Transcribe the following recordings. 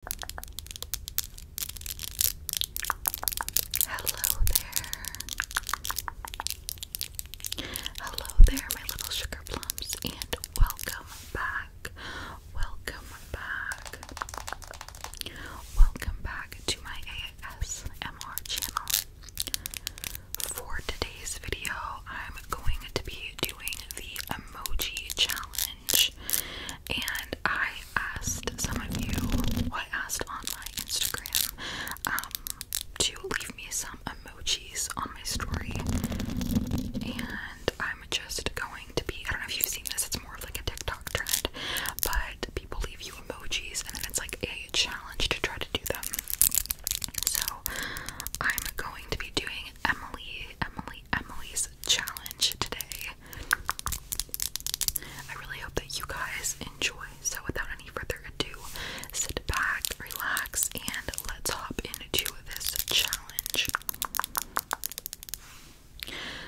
Hello there. Hello there, my little sugar plums, and welcome back. Welcome back. Welcome back to my ASMR channel. For today's video, I'm going to be doing the emoji challenge and I asked some of you, well, I asked on my Instagram, um, to leave me some emojis on my story, and I'm just going to be, I don't know if you've seen this, it's more of like a TikTok trend, but people leave you emojis, and then it's like a challenge to try to do them. So, I'm going to be doing Emily, Emily, Emily's challenge today. I really hope that you guys enjoy. So, without any further ado, sit back, relax, and let's hop into this challenge.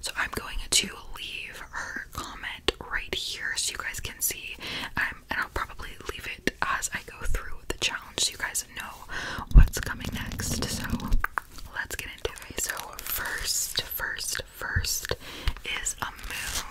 So, I'm going to leave her comment right here so you guys can see, um, and I'll probably leave it as I go through the challenge so you guys know what's coming next. So let's get into it. So first, first, first is a moon.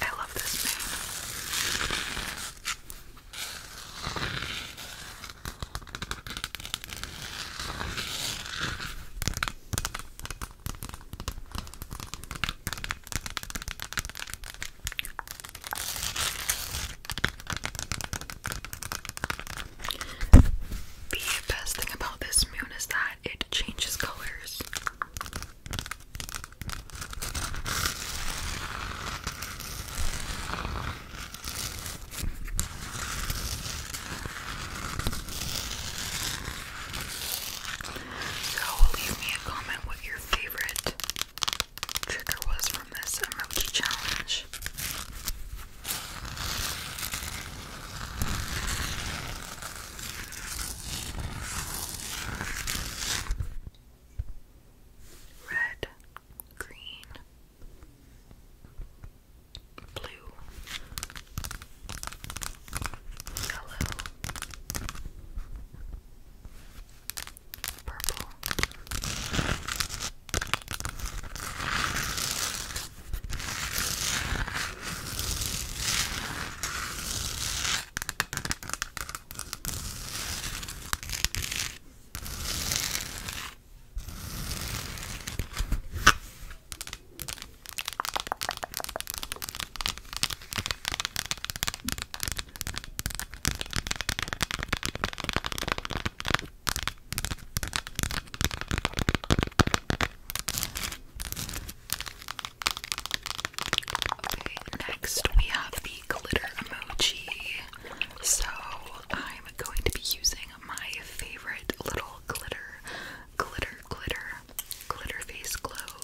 I love this moon. The best thing about this moon is that it changes colors. So leave me a comment what your favorite trigger was from this emoji challenge red, green, blue, yellow, purple. Okay, next we have the glitter emoji. So I'm going to be using my favorite little glitter, glitter, glitter, glitter face globes.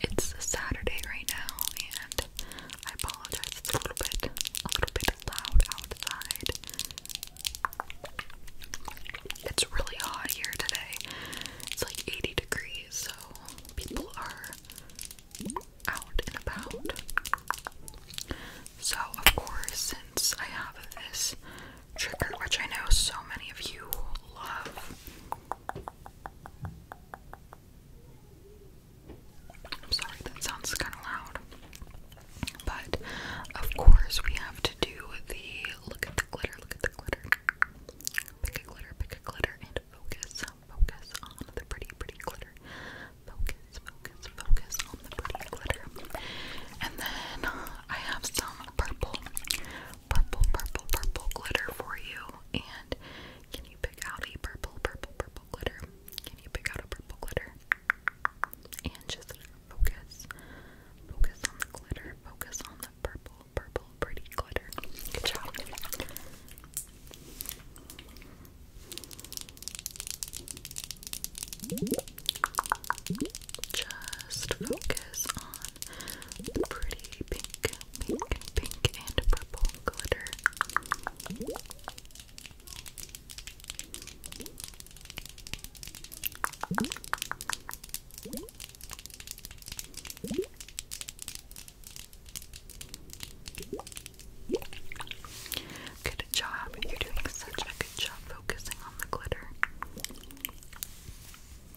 It's Saturday right now, and I apologize. It's a little bit, a little bit loud outside. It's really hot here today. It's like 80 degrees, so people are out and about. So, of course, since I have this trigger, which I know so many of you love, I'm sorry, that sounds kind of loud. But of course, we have to do the look at the glitter, look at the glitter. Pick a glitter, pick a glitter, and focus, focus on the pretty, pretty glitter. Focus, focus, focus on the pretty glitter. And then I have some purple, purple, purple, purple glitter for you. And can you pick out a purple, purple, purple glitter? Can you pick out a purple glitter? And just focus. Focus on the glitter. Focus on the purple, purple, pretty glitter. Good job. Just focus on the pretty pink pink, pink, and purple glitter. Good job. You're doing such a good job focusing on the glitter.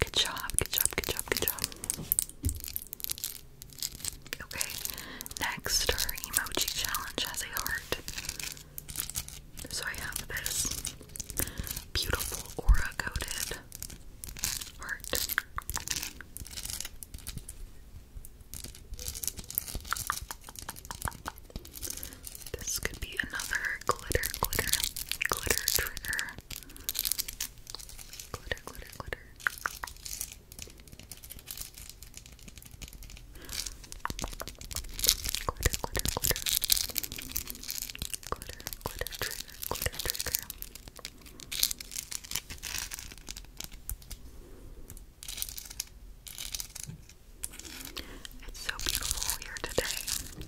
Good job, good job, good job, good job. Okay, next, our emoji challenge has a heart. So I have this beautiful aura coated heart. This could be another glitter, glitter, glitter trigger. Glitter, glitter, glitter. Glitter, glitter, glitter. Glitter, glitter, trigger, glitter, trigger. It's so beautiful here today. My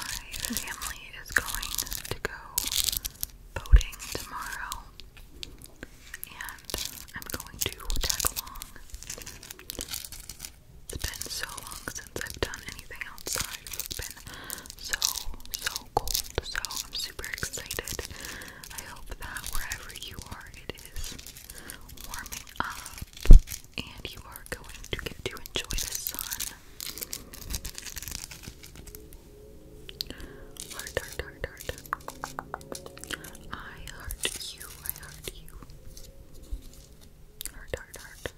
family is going to go boating tomorrow, and I'm going to tag along. It's been so long since I've done anything outside. It's been so, so cold, so I'm super excited. I hope that wherever you are, it is warming up and you are going to get to enjoy the sun. Heart, heart, heart, heart. I heart you, I heart you. Heart, heart, heart.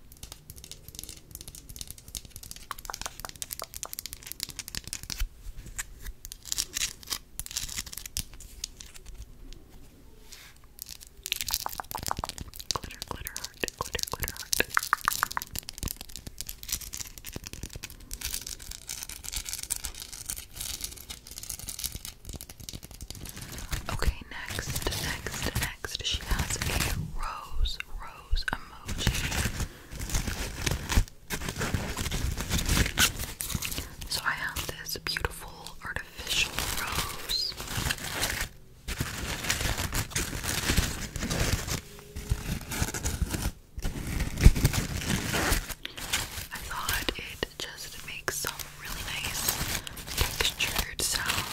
Glitter, glitter heart, glitter, glitter Okay, next, next, next. She has a rose, rose emoji. So I have this beautiful artificial rose. I thought it just makes some really nice textured sounds.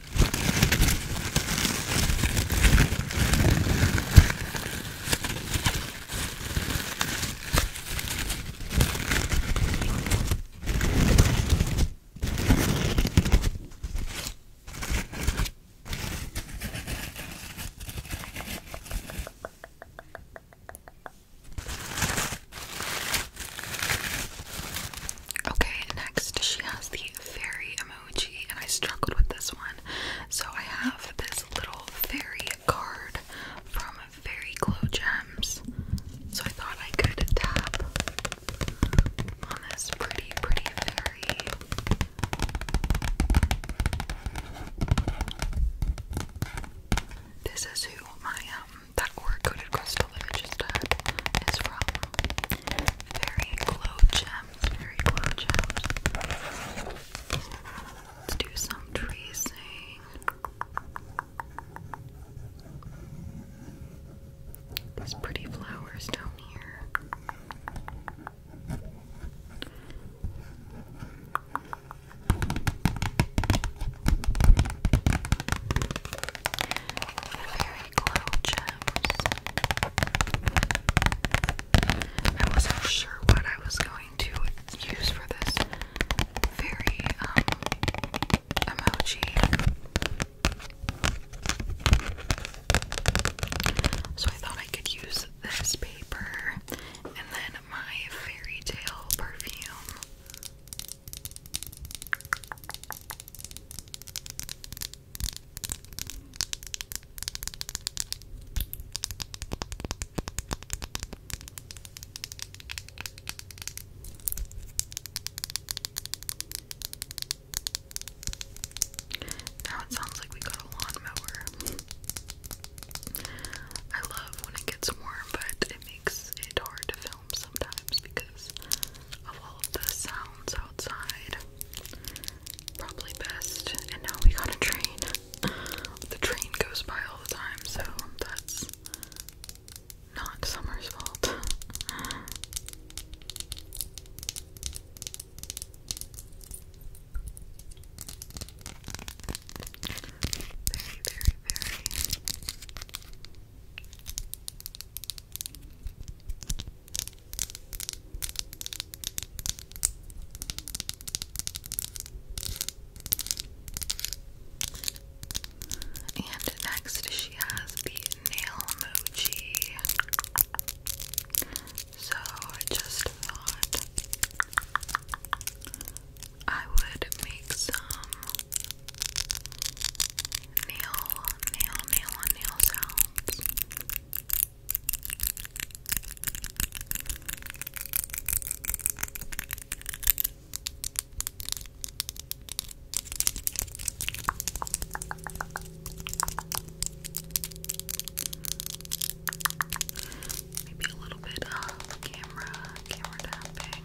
Okay, next she has the fairy and I struggled with this one. So I have this little fairy card from Fairy Glow Gems. So I thought I could tap on this pretty, pretty fairy. This is who my um that aura coated crystal that I just had is from very glow gems, very glow gems. Let's do some tracing. These pretty flowers down here. I wasn't sure what I was going to use for this very um, emoji. So I thought I could use this paper and then my fairy tale perfume. Now it sounds like we got a lawnmower. I love when it gets warm, but it makes it hard to film sometimes because of all the sounds outside. Probably best. And now we got a train. The train goes by all the time, so that's not Summer's fault. Very, very, very and next, she has the nail emoji. So I just thought I would make some nail, nail, nail on nail Maybe a little bit of camera, camera tapping.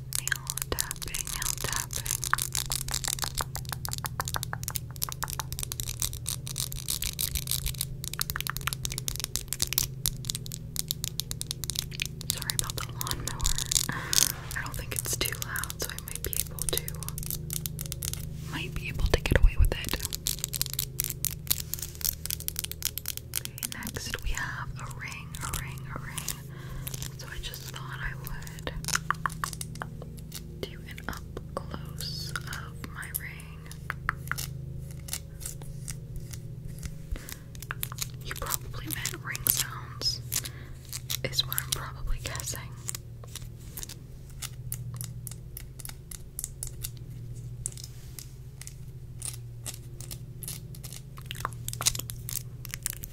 nail tapping, nail tapping. Sorry about the lawnmower. I don't think it's too loud, so I might be able to might be able to get away with it. next we have a ring, a ring, a ring. So I just thought I would do an up close of my ring. You probably meant ring sounds, is what I'm probably guessing.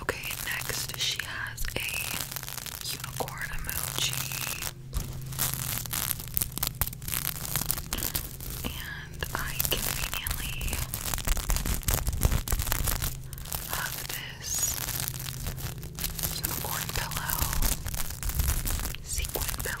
Okay, next she has a unicorn emoji. And I conveniently have this unicorn pillow, sequin pillow.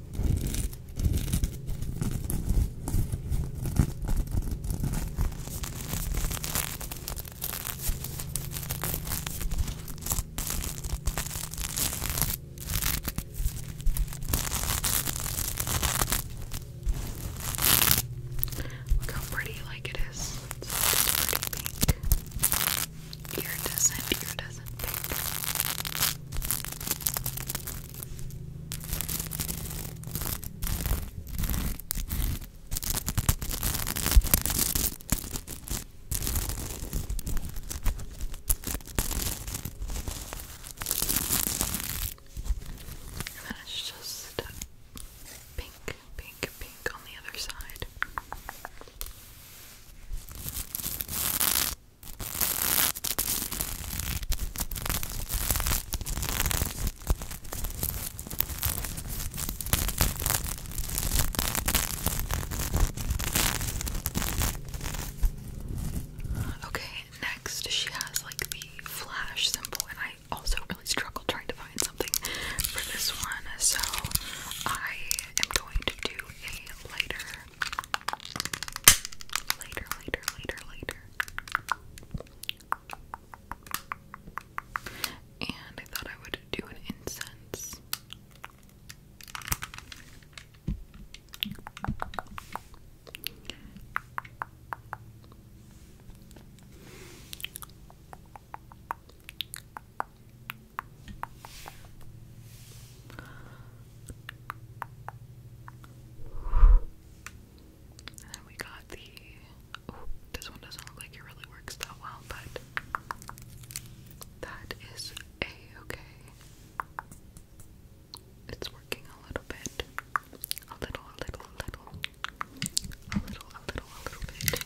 Look how pretty like it is. It's pretty pink. Iridescent, iridescent pink it's just pink, pink, pink on the other side. Okay, next she has like the flash symbol, and I also really struggled trying to find something for this one, so I am going to do a lighter Later, later, later, later. And I thought I would do an incense. And then we got the. this one doesn't look like it really works that well, but that is a okay. It's working a little bit. A little, a little, a little. A little, a little, a little bit.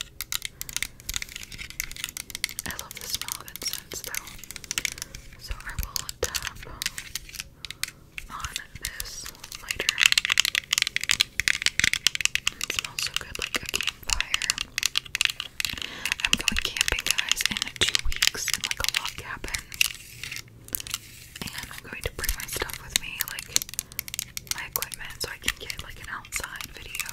I love the smell of incense though. So I will tap on this lighter. smells so good, like a campfire. I'm going camping, guys, in two weeks like a log cabin. And I'm going to bring my stuff with me, like my equipment, so I can get like an outside video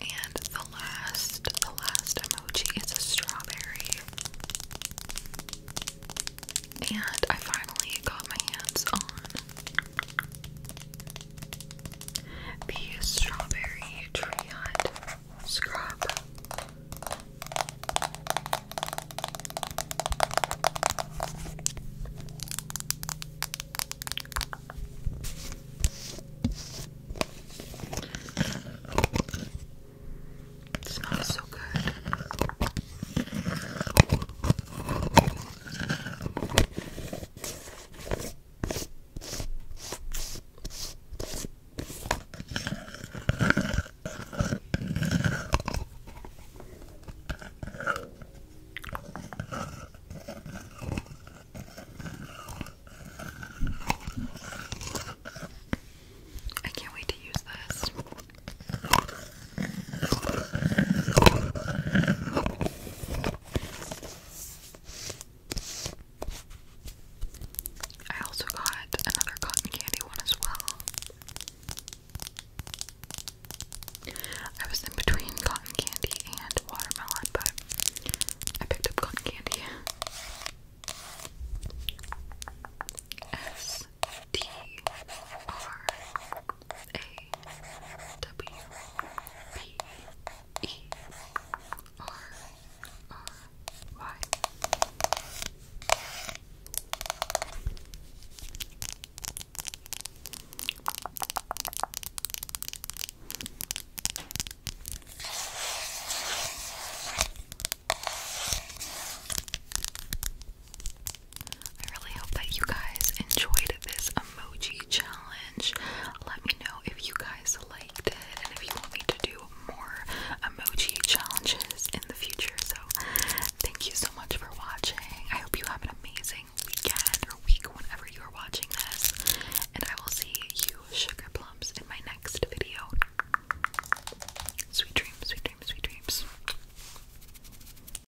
and the last, the last emoji is a strawberry. And I finally got my hands on the strawberry tree hut scrub. It smells so good. I can't wait to use this. I also got another cotton candy one as well. I was in between cotton candy and watermelon, but I picked up cotton candy. S T R W P E R R Y. I really hope that you guys enjoyed this emoji challenge. Let me know if you guys liked it and if you want me to do more emoji challenges in the future. So, thank you so much for watching. I hope you have an amazing weekend or week whenever you are watching this. And I will see you, Sugar Plums, in my next video. Sweet dreams, sweet dreams, sweet dreams.